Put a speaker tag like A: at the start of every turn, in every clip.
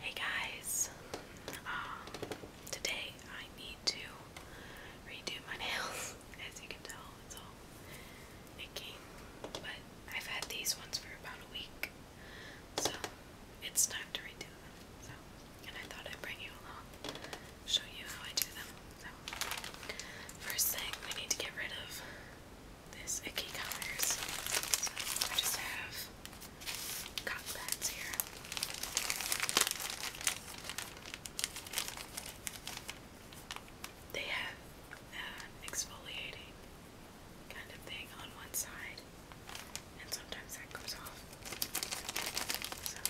A: Hey guys, um, today I need to redo my nails. As you can tell, it's all nicking, but I've had these ones for about a week, so it's time to redo them. So, and I thought I'd bring you along, show you how I do them. So, first thing we need to get rid of this icky colors. So I just have cotton pads here. They have an exfoliating kind of thing on one side, and sometimes that comes off. So,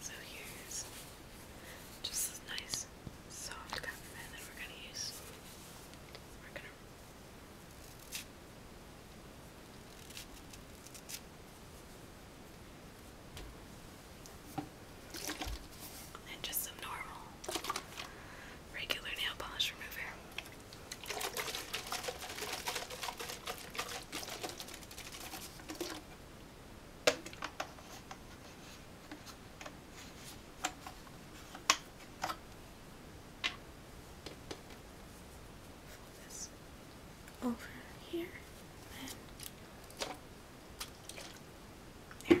A: so here's just this nice soft peppermint that we're gonna use. We're gonna and just some normal regular nail polish remover. Fold this over here and there.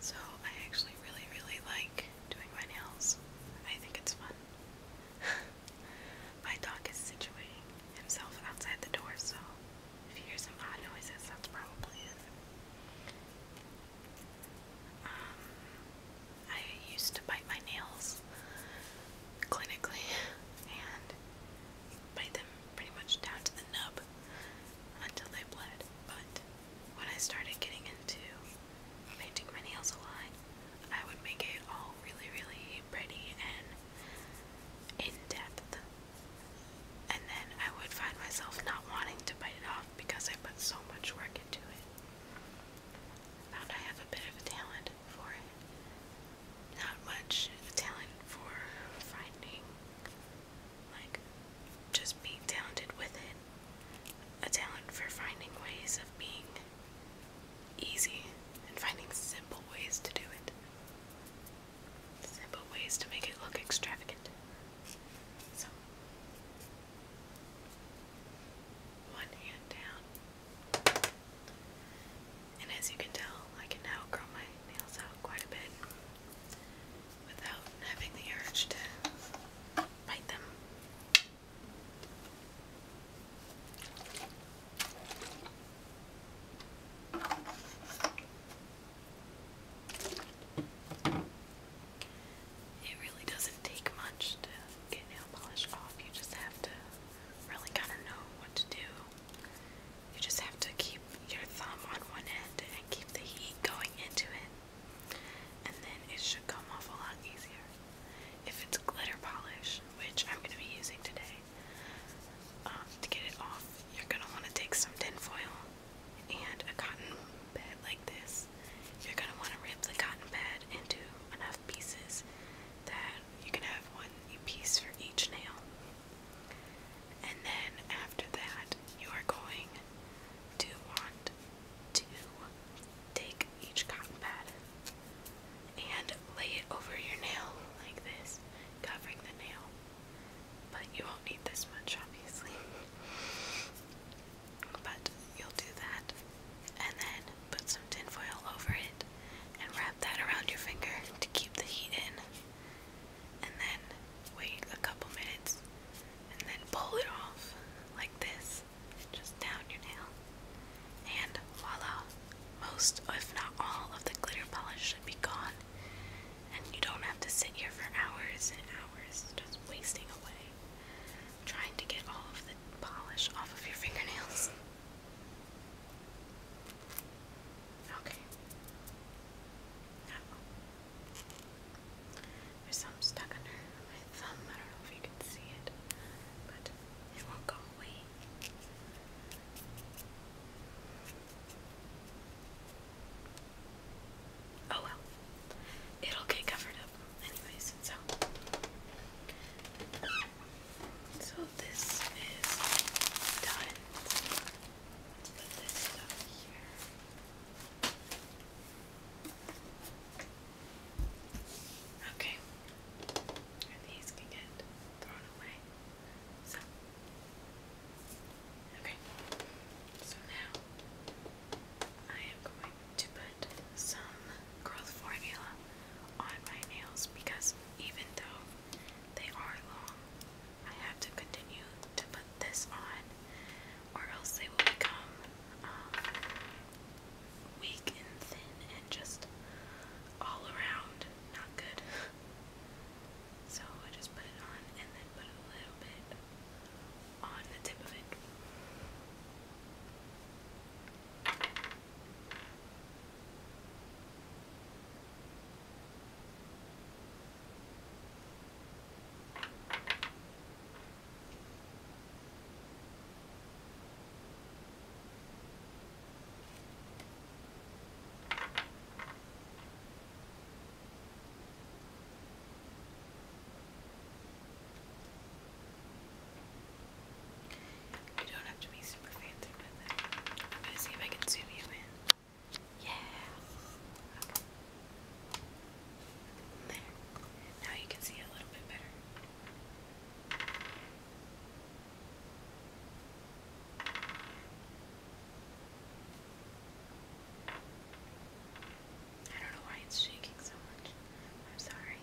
A: So, I actually really, really like doing my nails. I think it's fun. my dog is situating himself outside the door, so if you hear some odd noises, that's probably it. Um, I used to bite my nails clinically, and bite them pretty much down to the nub until they bled. But when I started getting into painting my nails a lot, I would make it all really, really pretty and in depth. And then I would find myself not wanting to bite it off because I put so much work into it. found I have a bit of a talent for it not much talent for finding, like, just being talented with it. A talent for finding ways of being easy and finding simple ways to do it. Simple ways to make it look extravagant. So, one hand down. And as you can tell, I can now grow my nails out quite a bit without having the urge to bite them. It really doesn't take much to get nail polish off. You just have to really kind of know what to do you just have to keep your thumb on one end and keep the heat going into it, and then it should come off a lot easier. If it's glitter polish, which I'm going to be using today, um, to get it off, you're going to want to take some tin foil and a cotton pad like this. You're going to want to rip the cotton pad into enough pieces that you can have one piece for each nail. And then after that, you are going to want to take each cotton pad and lay it over your nail like this, covering the nail. But you won't need this much, obviously. But you'll do that and then put some tinfoil over it and wrap that around your finger to keep the heat in and then wait a couple minutes and then pull it off like this, just down your nail. And voila, most, if not all, of the glitter polish should be gone. And you don't have to sit here for hours and hours just wasting away trying to get all of the polish off of your fingernails. Okay. There's some stuck under my thumb. I don't know if you can see it, but it won't go away. Oh well. It'll get covered up anyways, so so this is done. Let's put this stuff here. Okay. And these can get thrown away. So okay. So now I am going to put some growth formula on my nails because even though they are long, I have to continue to put this on, or else they will become um, weak and thin and just all around not good. So I just put it on and then put a little bit on the tip of it. You don't have to be super fancy with it. I'm gonna see if I can zoom you in. Yeah. There. Now you can see a little bit better. I don't know why it's shaking so much. I'm sorry.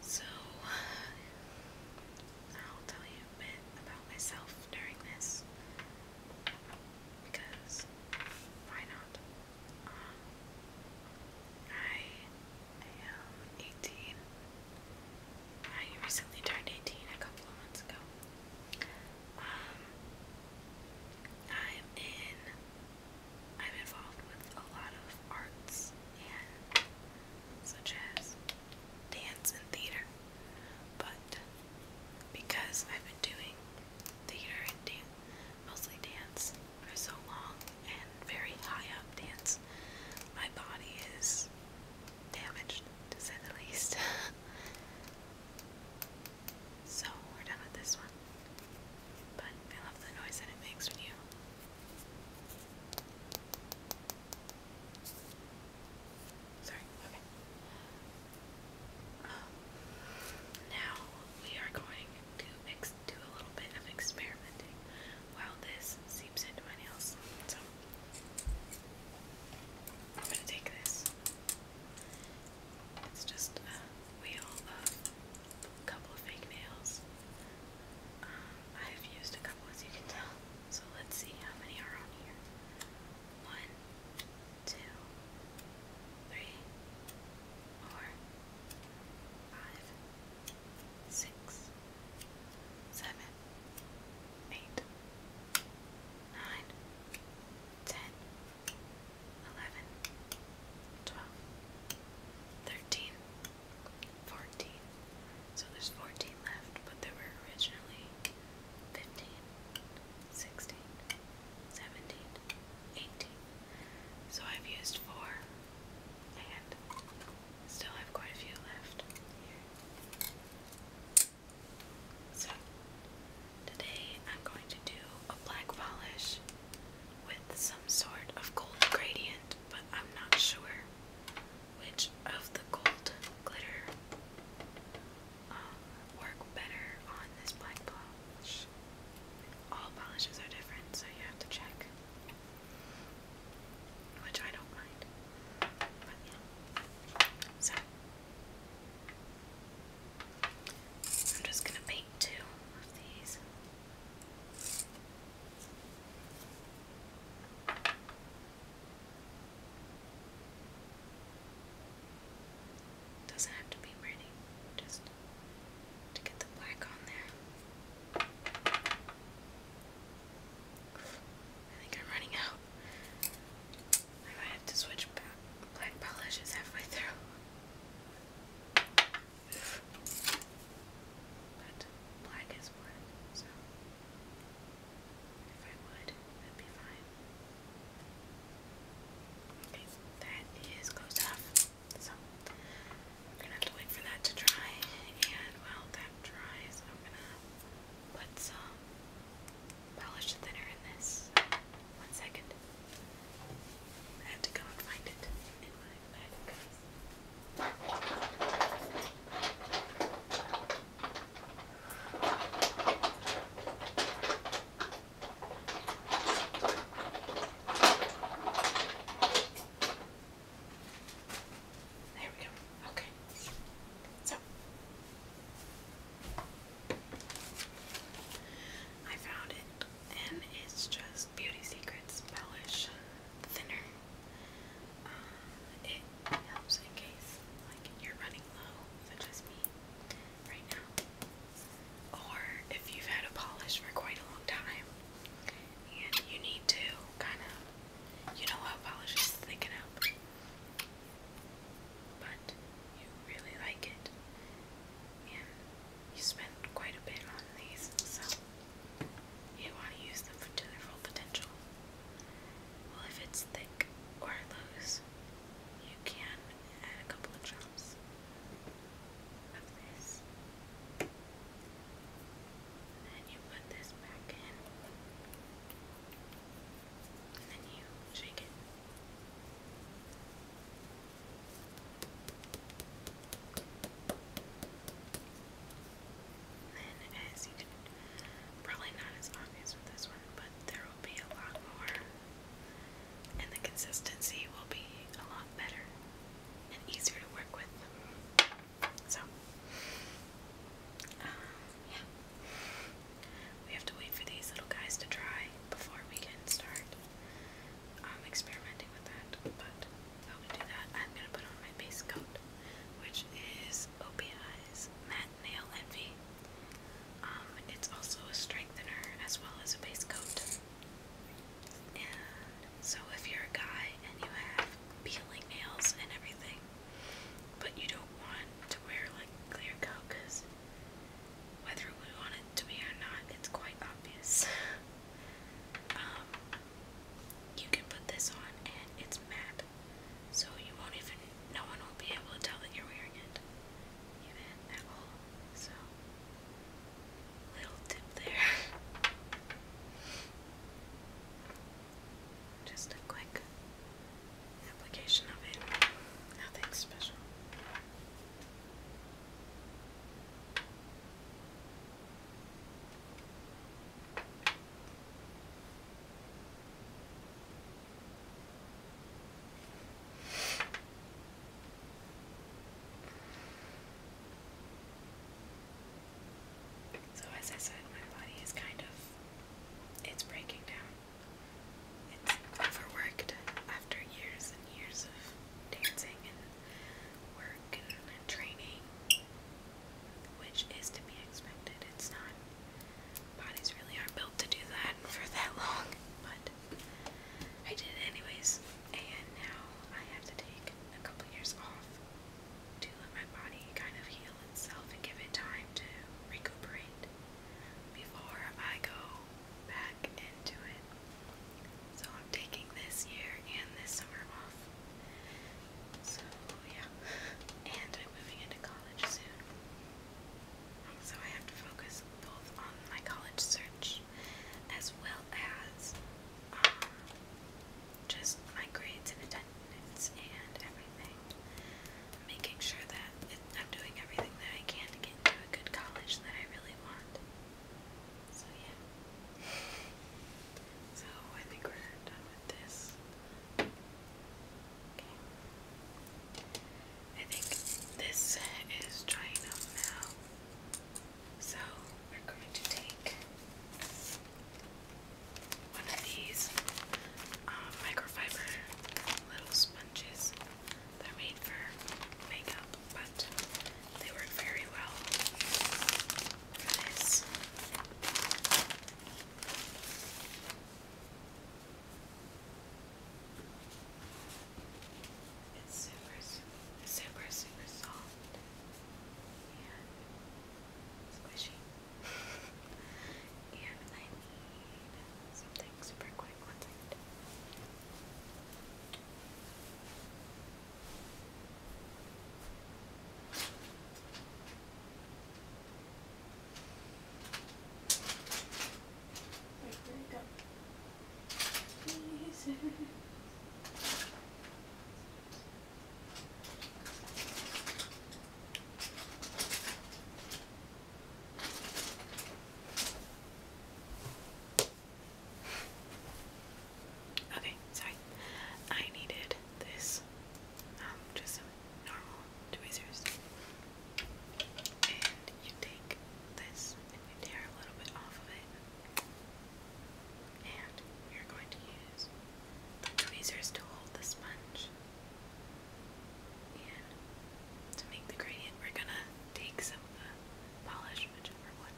A: So, I'll tell you a bit about myself during this because why not? Um, I am 18. I recently turned 18 a couple of months ago. Um, I'm in, I'm involved with a lot of arts and such as dance and theater, but because I've been doing theater and dance, mostly dance for so long, and very high up dance, my body is damaged to say the least. so we're done with this one. But I love the noise that it makes when you Sorry, okay. Um, now we are going to do a little bit of experimenting while this seeps into my nails. So I'm gonna take this. It's just a couple of fake nails. Um, I have used a couple as you can tell. So let's see how many are on here. One, two, three, four, five, six, seven, eight, nine, ten, eleven, twelve, thirteen, fourteen. So there's fourteen left, but there were originally fifteen, sixteen, seventeen, eighteen. So I've used four and still have quite a few left So, today I'm going to do a black polish with some sort of gold gradient, but I'm not sure which of the gold glitter um, work better on this black polish. All polishes are different, so you have to check which I don't mind. So I'm just gonna paint two of these. Doesn't have to be pretty, just to get the black on there. I think I'm running out. I might have to switch black polishes halfway through. But black is black, so if I would, would be fine. Okay, that is closed off. So we're gonna have to wait for that to dry, and while that dries, I'm gonna put some polish thinner in this. One second. I had to go and find it in my bag, there we go. Okay. So I found it and it's just Beauty Secrets Polish Thinner. Uh, it helps in case like you're running low, such as me right now. Or if you've had a polish for quite a long time and you need to kind of, you know how polish is thickened up, but you really like it, and you spend quite a bit on these, so you want to use them for, to their full potential. Well, if it's thick or loose, you can add a couple of drops of this. And you put this back in. And then you shake it. then as you can probably not as obvious with this one, but there will be a lot more and the consistency will be a lot better and easier to work with. So, um, yeah. We have to wait for these little guys to dry before we can start um, experimenting with that. But while we do that, I'm going to put on my base coat, which is OPI's Matte Nail Envy. Um, it's also a strengthener as well as a base coat. So if you're a guy and you have peeling nails and everything, but you don't want to wear like clear coat because whether we want it to be or not, it's quite obvious. um, you can put this on and it's matte, so you won't even, no one will be able to tell that you're wearing it. Even at all. So, little tip there. Just a quick application of it. Nothing special. So, as I said, my body is kind of. It's breaking down. It's overworked after years and years of dancing and work and, training, which is to be expected. It's not. Bodies really are built to do that for that long, but I did anyways. And now I have to take a couple years off to let my body kind of heal itself and give it time to recuperate before I go back into it. So I'm taking this year and this summer off. So yeah. And I'm moving into college soon. So I have to focus both on my college search as well as um, just my grades and attendance and everything. Making sure that I'm doing everything that I can to get into a good college that I really want. So, yeah. So, I think we're done with this. Okay. I think this is drying up now. So we're going to take one of these um, microfiber little sponges. They're made for makeup, but they work very well for this. It's super, super, super soft soft and squishy. and I need something super quick. One second. Wait, where it go? Jesus. Okay, sorry. I needed this, um, just normal tweezers. And you take this and you tear a little bit off of it. And you're going to use the tweezers to hold the sponge. And to make the gradient, we're gonna take some of the polish, whichever one,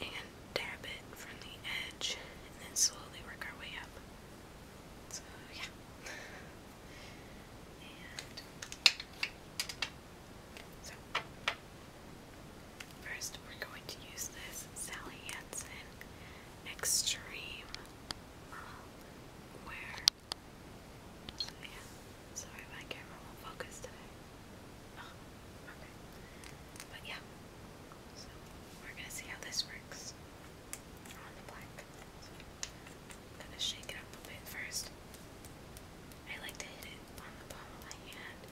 A: and dab it from the edge, and then slowly work our way up. So, yeah. so, First, we're going to use this Sally Hansen Extreme Wear. sorry my camera won't focus today. Oh, okay. But yeah, so we're gonna see how this works on the black. So I'm gonna shake it up a bit first. I like to hit it on the palm of my hand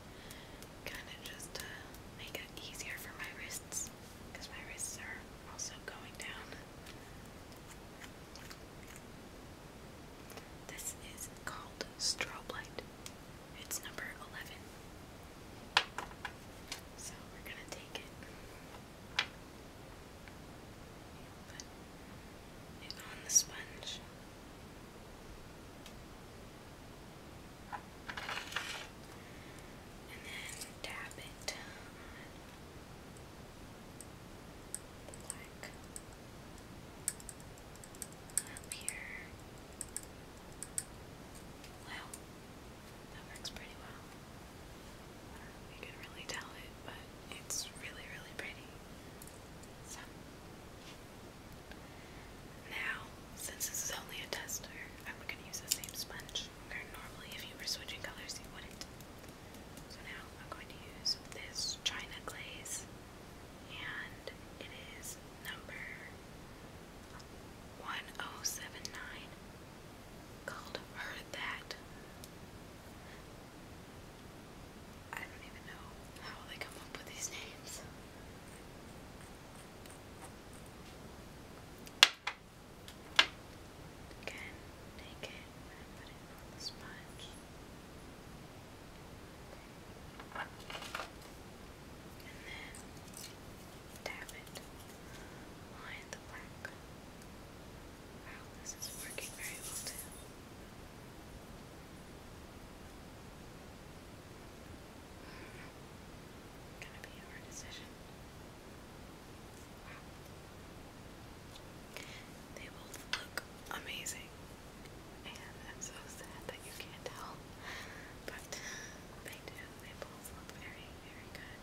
A: kind of just to make it easier for my wrists my wrists are also going down. This is called Strobe It's number 11. So we're going to take it and put it on the sponge. And then dab it on the black up here. Well, that works pretty well. I don't really tell it, but it's really, really pretty. So, now, since this is only a tester, I'm going to use the same sponge. normally if you were switching colors, you wouldn't. So now I'm going to use this China glaze, and it is number 1079, called Heard That. I don't even know how they come up with these names. Again, take it and put it on the sponge. And then dab it on the black. Wow, this is working very well too. Gonna be our decision. They both look amazing. And I'm so sad that you can't tell. But they do. They both look very, very good.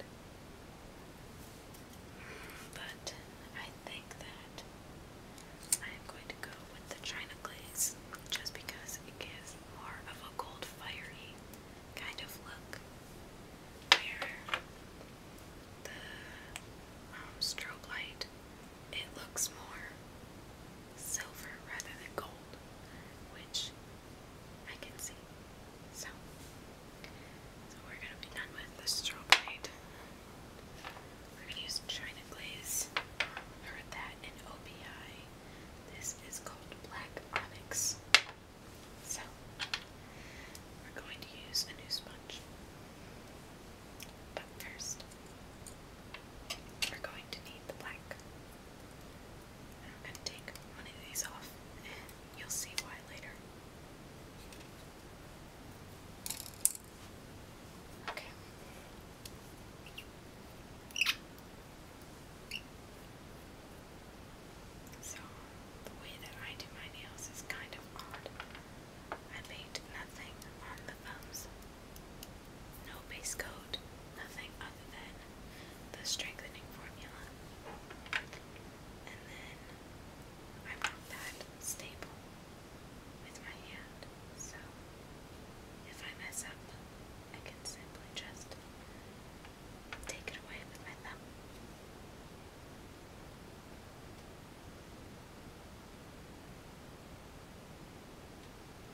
A: But I think that I am going to go with the China glaze just because it gives more of a cold, fiery kind of look, where the um, strobe light it looks more silver rather than gold, which I can see. So, so we're gonna be done with the strobe light. We're gonna use China Glaze. Heard that in OPI. This is called Black Onyx. So, we're going to use a new sponge. But first, we're going to need the black. I'm going to take one of these off, and you'll see why later. Okay, so, the way that I do my nails is kind of odd. I paint nothing on the thumbs, no base coat, nothing other than the strengthening formula. And then I want that stable with my hand, so if I mess up, I can simply just take it away with my thumb.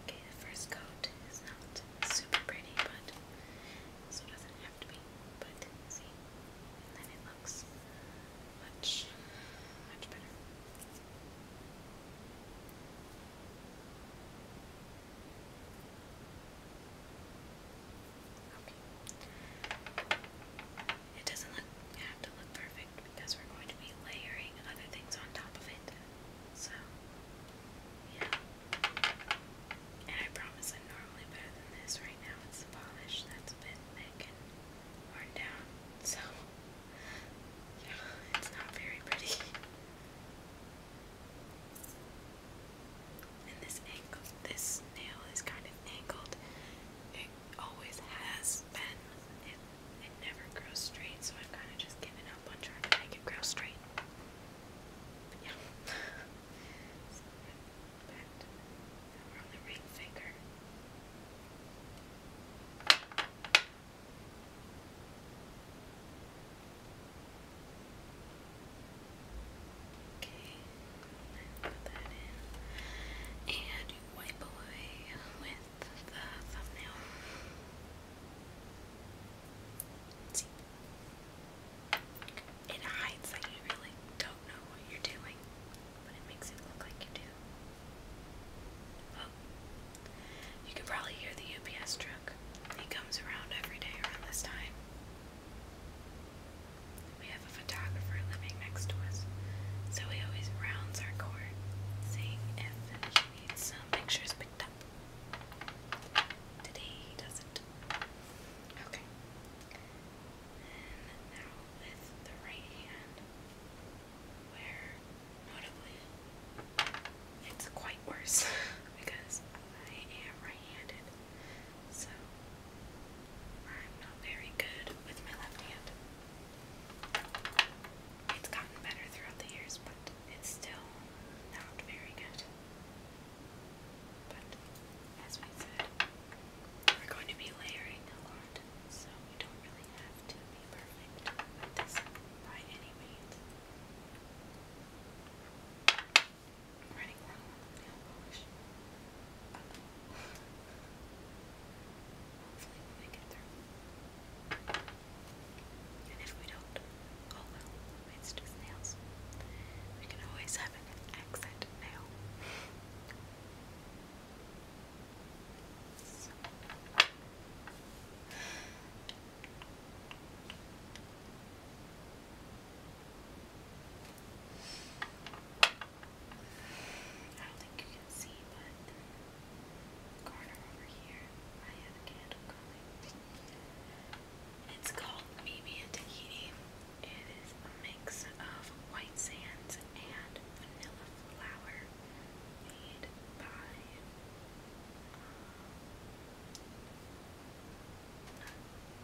A: Okay, the first coat is not super pretty, but also doesn't have to be. But see, then it looks much, much better. It doesn't have to look perfect because we're going to be layering other things on top of it. So, yeah. And I promise I'm normally better than this. Right now it's the polish that's a bit thick and down. So, yeah, it's not very pretty. And this angle, this nail is kind of angled. It always has been. It, it never grows straight, so I've kind of just given up on trying it grow straight. yeah. so back to we're on the ring finger. Okay, put that in and wipe away with the thumbnail. See, it hides like you really don't know what you're doing, but it makes it look like you do. Oh, you can probably hear the UPS truck. He comes around every day around this time. We have a photographer living next to us, so he always rounds our court, seeing if he needs some pictures picked up. Today he doesn't. Okay. now with the right hand, where notably, it's quite worse because I am right-handed, so I'm not very good with my left hand. It's gotten better throughout the years, but it's still not very good. But as we said, we're going to be layering a lot, so we don't really have to be perfect this by any means. I'm running long Hopefully we'll make And if we don't, oh well, it's just nails. We can always have an accent nail. I don't think you can see, but the corner over here, I have a candle going. It's called Mimi Tahiti. It is a mix of white sands and vanilla flour made by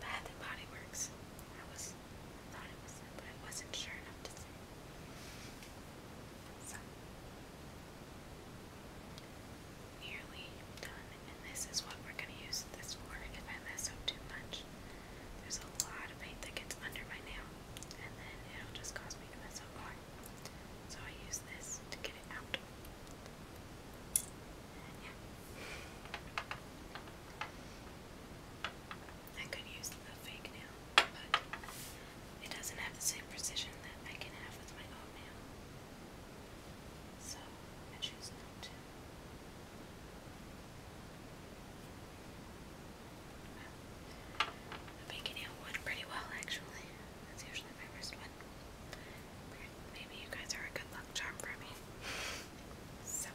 A: Bath and Body Works. I was I thought but I wasn't sure enough to say. nearly done, and this is what we're gonna use this for. If I mess up too much, there's a lot of paint that gets under my nail, and then it'll just cause me to mess up more. So I use this to get it out. I could use the fake nail, but it doesn't have the same precision that I can have with my own nail. So I choose not I'm making out one pretty well, actually. That's usually my worst one. Maybe you guys are a good luck charm for me. so,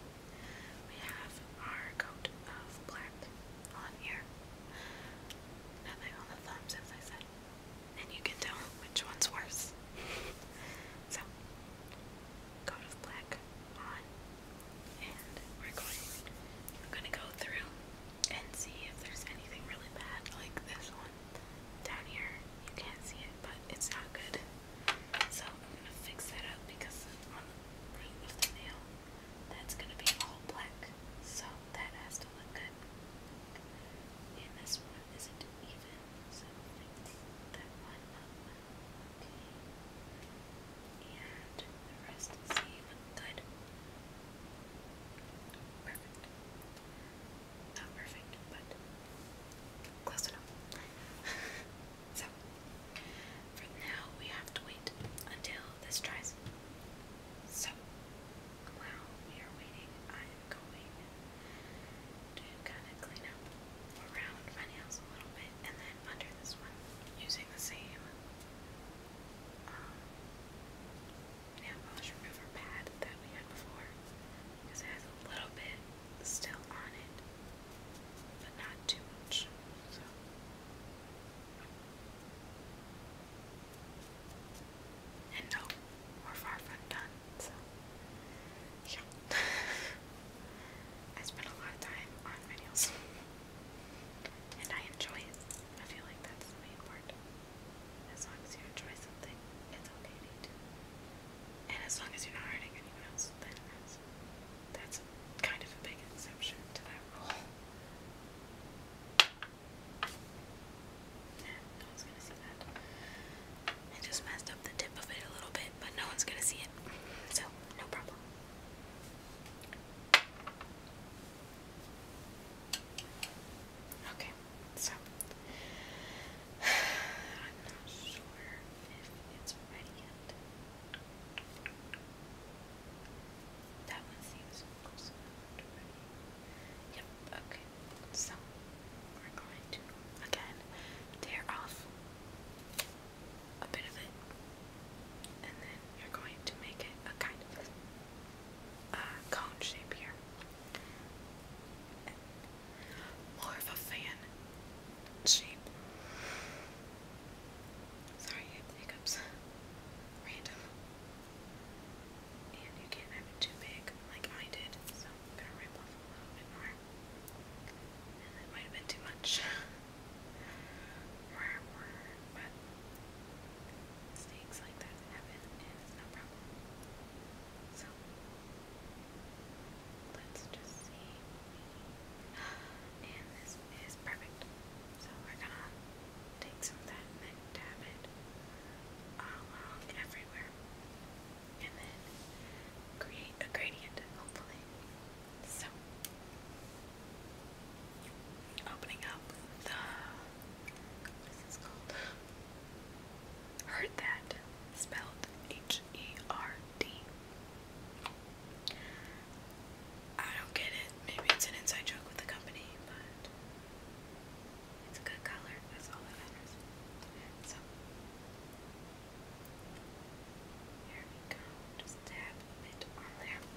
A: we have our coat of black on here. Nothing on the thumbs, as I said. And you can tell which one's worse. so, coat of black on. And we're going, I'm going to go through and see if there's anything really bad like this one down here. You can't see it, but it's not good. So I'm gonna fix that up because on the root of the nail, that's gonna be all black. So that has to look good. And this one isn't even, so fix that one up. Okay. And the rest is even good. Perfect. Not perfect, but close enough. so, for now, we have to wait until this dries. So, while we are waiting, I'm going to kind of clean up around my nails a little bit and then under this one using the same. Um, nail polish remover pad that we had before because it has a little bit still on it, but not too much. So. And no, we're far from done, so yeah. I spend a lot of time on videos. And I enjoy it. I feel like that's the main part. As long as you enjoy something, it's okay to eat And as long as you're not hurting anyone else, then that's, that's kind of a big exception to that rule. no one's gonna see that. I just messed up the tip of it a little bit, but no one's gonna see it. So, no problem. Okay, so I'm not sure if it's ready yet. That one seems close enough okay. So we're going to again tear off a bit of it. And then you're going to make it a kind of uh, cone shape here. More of a fan shape. Sorry, I have Random. And you can't have it too big like I did, so gonna rip off a little bit more. And that might have been too much. mistakes like that happen and it's no problem. So let's just see. And this is perfect. So we're gonna take some of that and then dab it along um, everywhere. And then create a gradient, hopefully. So opening up what is this called? Heard that spelled H E R D. I don't get it. Maybe it's an inside joke with the company, but it's a good color. That's all that matters. here we go. Just tap a on there.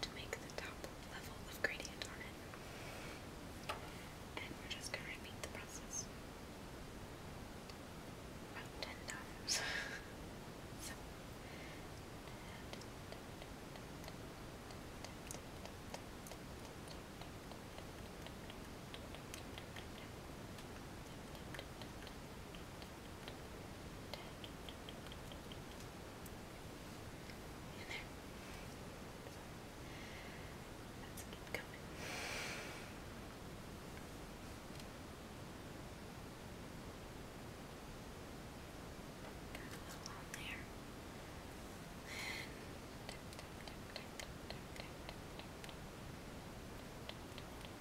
A: to make the top level of gradient on it. And we're just going to repeat the process ten times. so. Now in there. Let's keep going. Got a little on there. And tap, tap, tap, tap, tap, tap, tap, tap, tap, tap, tap, tap,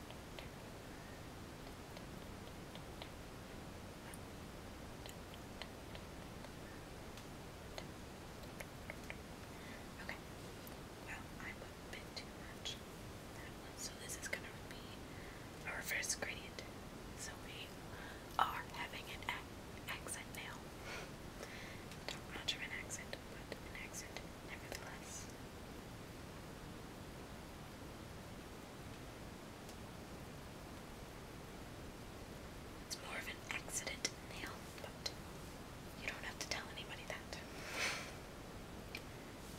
A: Okay. Well, I put a bit too much so this is gonna be a reverse gradient. So we are having an accent now. Not much of an accent, but an accent nevertheless. It's more of an accident nail, but you don't have to tell anybody that.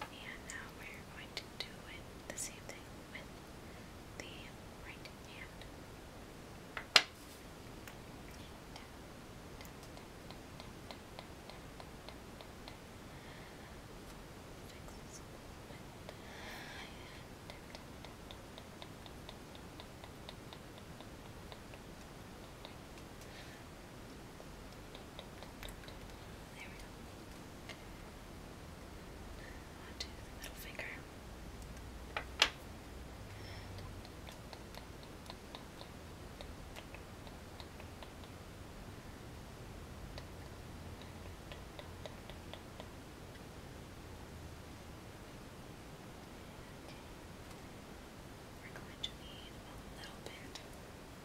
A: And now we're going to do the same thing with the right hand. Fix this There we go. Onto the middle finger. We're to need a little bit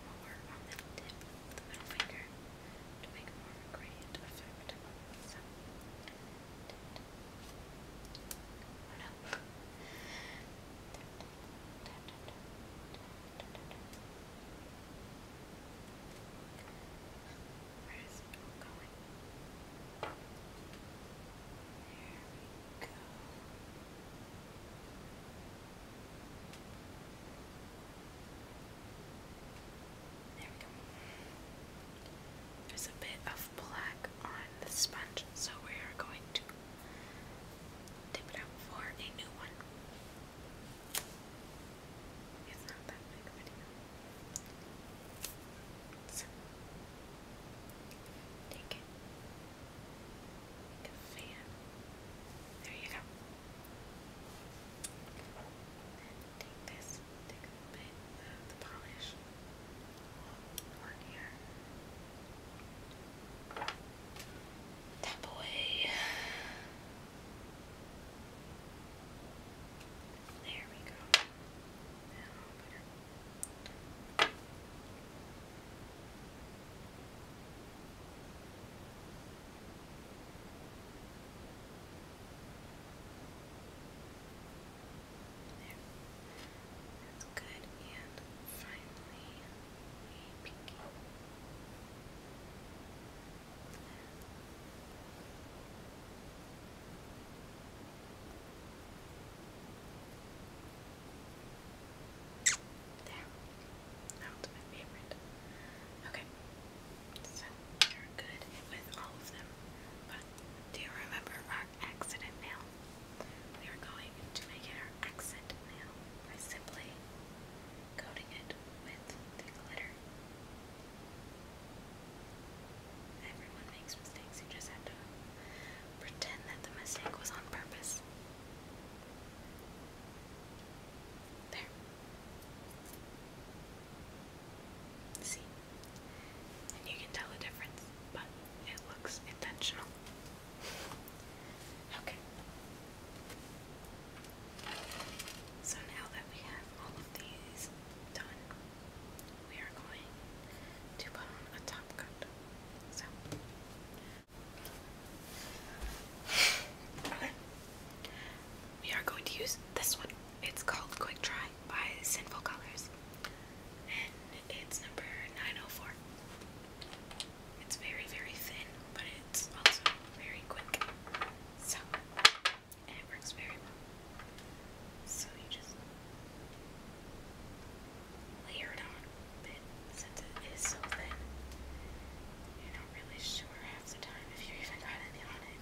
A: more on the tip finger to make more gradient effect. Where is Bill There we go. There we go. There's a bit of black on the sponge, so we are going to dip it out for a new one. It's take it. Make a fan. There you go. take this, take a bit of the polish on here. Tap away. There we go. That's good. And finally, we go. There. That my favorite. Okay. So we're good with all of them. But do you remember our accident now? We are going to make it our accent now by simply coating it with the glitter. Everyone makes mistakes, you just have to pretend that the mistake was on purpose. There. See? And you can tell the difference, but it looks intentional. okay. So now that we have all of these done, we are going to put on a top coat. We are going to use this one. It's called Quick Dry by Sinful Colors. And it's number 904. It's very, very thin, but it's also very quick. So, it works very well. So you just layer it on, but since it is so thin, you're not really sure half the time if you even got any on it.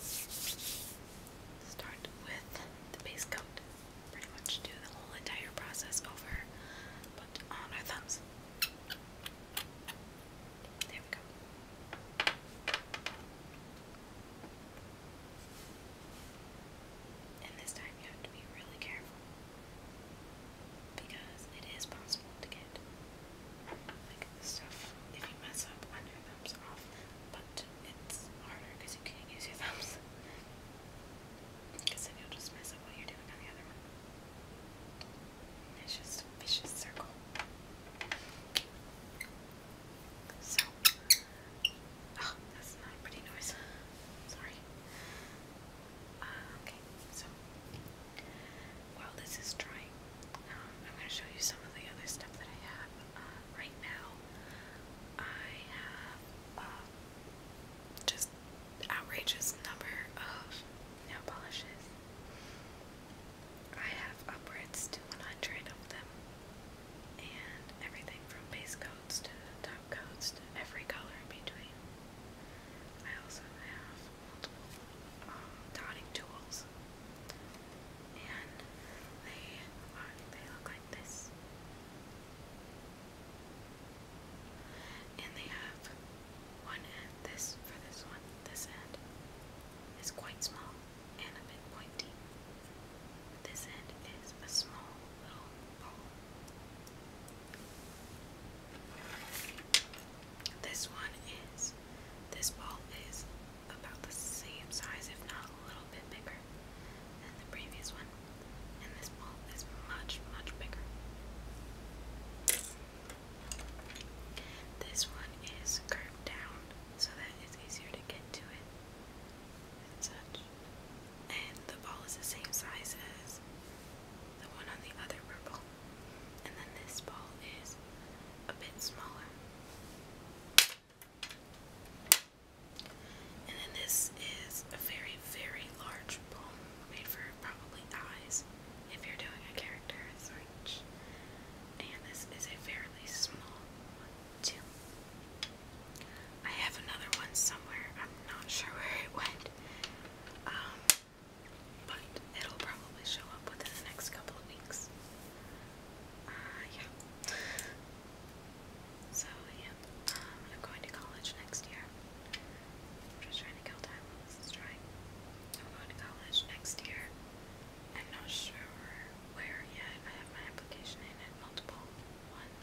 A: Start with the base coat. Pretty much do the whole entire process over, but on our thumbs. There we go. And this time you have to be really careful because it is possible to get like stuff if you mess up on your thumbs off, but it's harder because you can't use your thumbs. Because then you'll just mess up what you're doing on the other one. It's just a vicious circle. So, Oh, that's not a pretty noise. Sorry. Uh, okay, so while this is drying, um, I'm going to show you some of the other stuff that I have. Uh, right now, I have uh, just outrageous number of nail polishes. I have upwards to 100 of them, and everything from base coat coats to top coats to every color in between. I also have multiple um, dotting tools, and they they look like this. And they have one end. This for this one. This end is quite small and a bit pointy. This end is a small this one is, this ball is about the same size, if not a little bit bigger than the previous one. And this ball is much, much bigger. This one is curved down so that it's easier to get to it and such and the ball is the same size as the one on the other purple. And then this ball is a bit smaller. And then this is a very, very large ball made for probably eyes if you're doing a character search. And this is a fairly small one, too. I have another one somewhere. I'm not sure where it went. Um, but it'll probably show up within the next couple of weeks. Uh, yeah. So, yeah. Um, I'm going to college next year. just trying to kill time this is drying. I'm going to college next year. I'm not sure where yet. I have my application in at multiple once.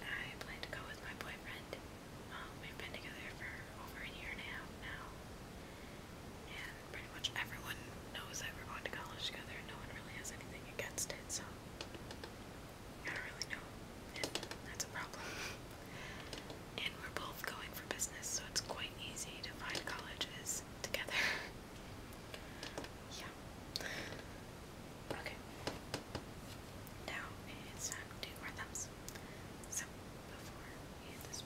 A: Um, I plan to go with my boyfriend. Um, we've been together for over a year now. And pretty much everyone knows that we're going to college together no one really has anything against it, so I don't really know. that's a problem. and we're both going for business, so it's quite easy to find colleges together. Yeah. Okay. Now it's time to do our thumbs. So, before we hit this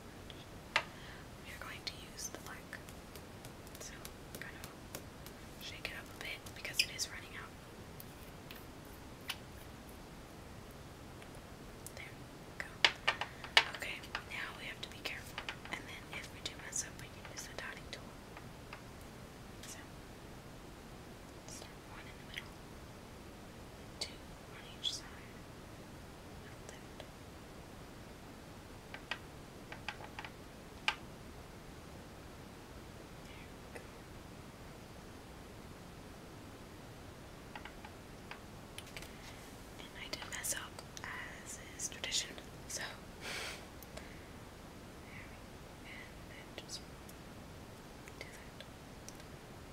A: we are going to use the black. So, kind of shake it up a bit because it is running out. There go. Okay, now we have to be careful. And then if we do mess up, we can use the dotting tool. So, one in the middle, two on each side, And I did mess up, as is tradition, so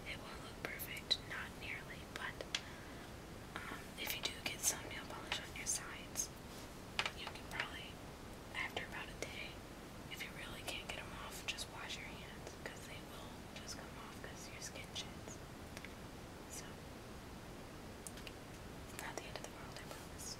A: it won't look perfect, not nearly, but um, if you do get some nail polish on your sides, you can probably, after about a day, if you really can't get them off, just wash your hands because they will just come off because your skin sheds. So, it's not the end of the world, I promise.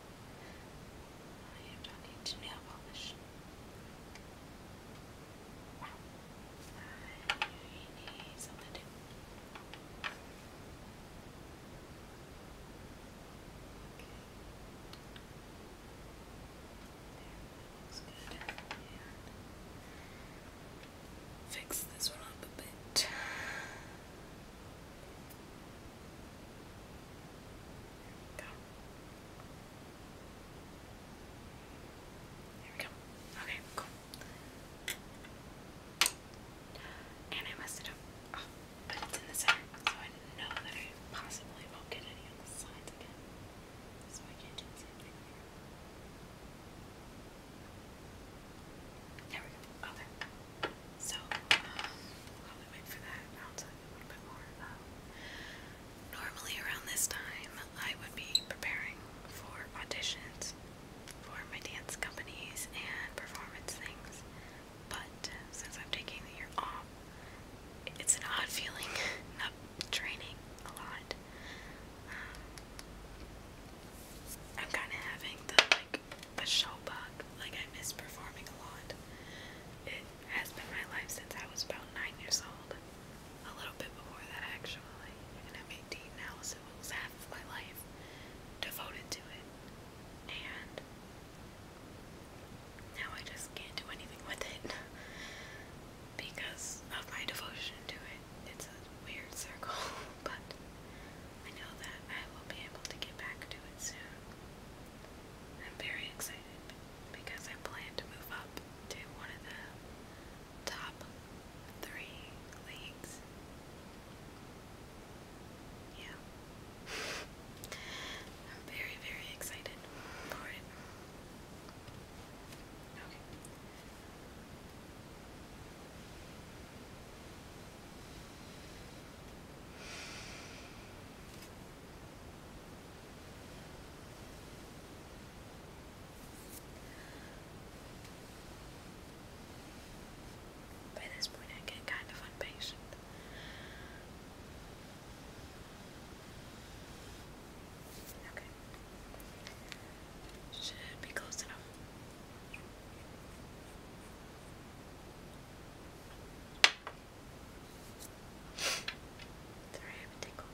A: I am talking to nail polish. I need something to fix this one up a bit. There we go. There go. And I messed it up. Oh, but it's in the center, so I know that I possibly won't get any on the sides again. So I can't do the same here. There we go. Okay. Oh, so, um, while we wait for that, I'll tell a little bit more Normally, around this time, I would be preparing for auditions for my dance companies and performance things. But uh, since I'm taking the year off, it's an odd feeling not training a lot. Um, I'm kind of having the like the show bug. Like I miss performing a lot has been my life since I was about nine years old. A little bit before that, actually. I'm 18 now, so it was half of my life devoted to it. And now I just can't do anything with it because of my devotion to it. It's a weird circle, but I know that I will be able to get back to it soon. I'm very excited because I plan to move up to one of the top three leagues. Yeah. I'm very, very excited for it. Okay. By this point, I get kind of impatient. Okay. Should be close enough. There I have a tickle.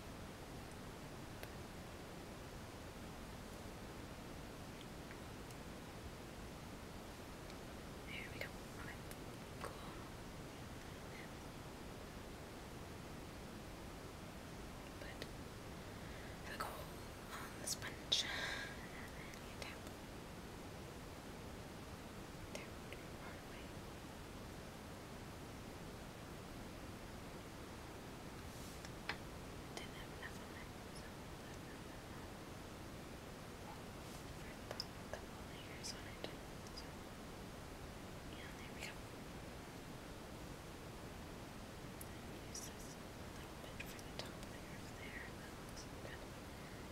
A: we go. Cool. Put the um, coal on the sponge they're really far away. I didn't have enough on that, so I'll put a yeah, there we And use this a little for the top layer there. That looks good. And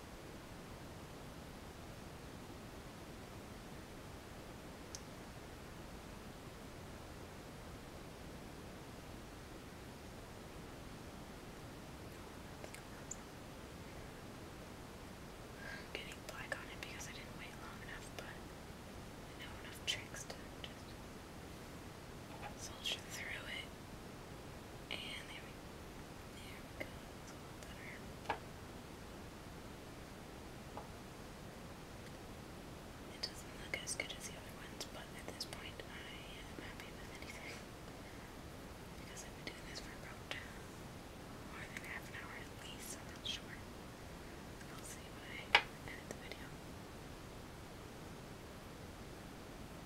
A: I'm getting black on it because I didn't wait long enough, but I know enough tricks to just soldier through it. And there we, go. It doesn't look as good as the other ones, but at this point I am happy with anything. Because I've been doing this for about more than half an hour at least, I'm not sure. I'll see when I edit the video.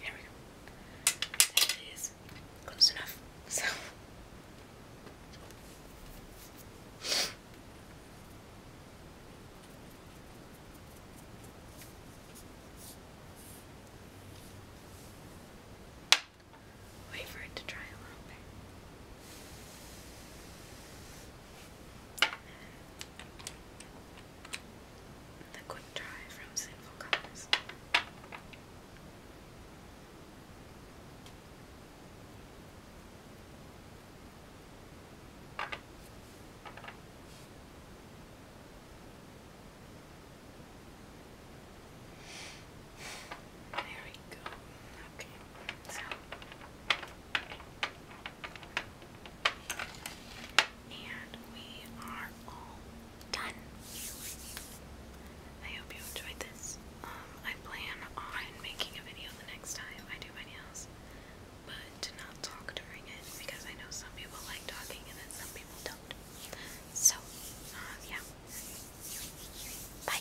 A: There we go. There it is. Close enough. So Wait for it to dry a little bit. The quick dry from Sinful Colors. There we go. Okay. So and we are all done. I hope you enjoyed this. Um, I plan on making a video the next time I do my nails, but to not talk during it because I know some people like talking and then some people don't. So, uh, yeah. Bye.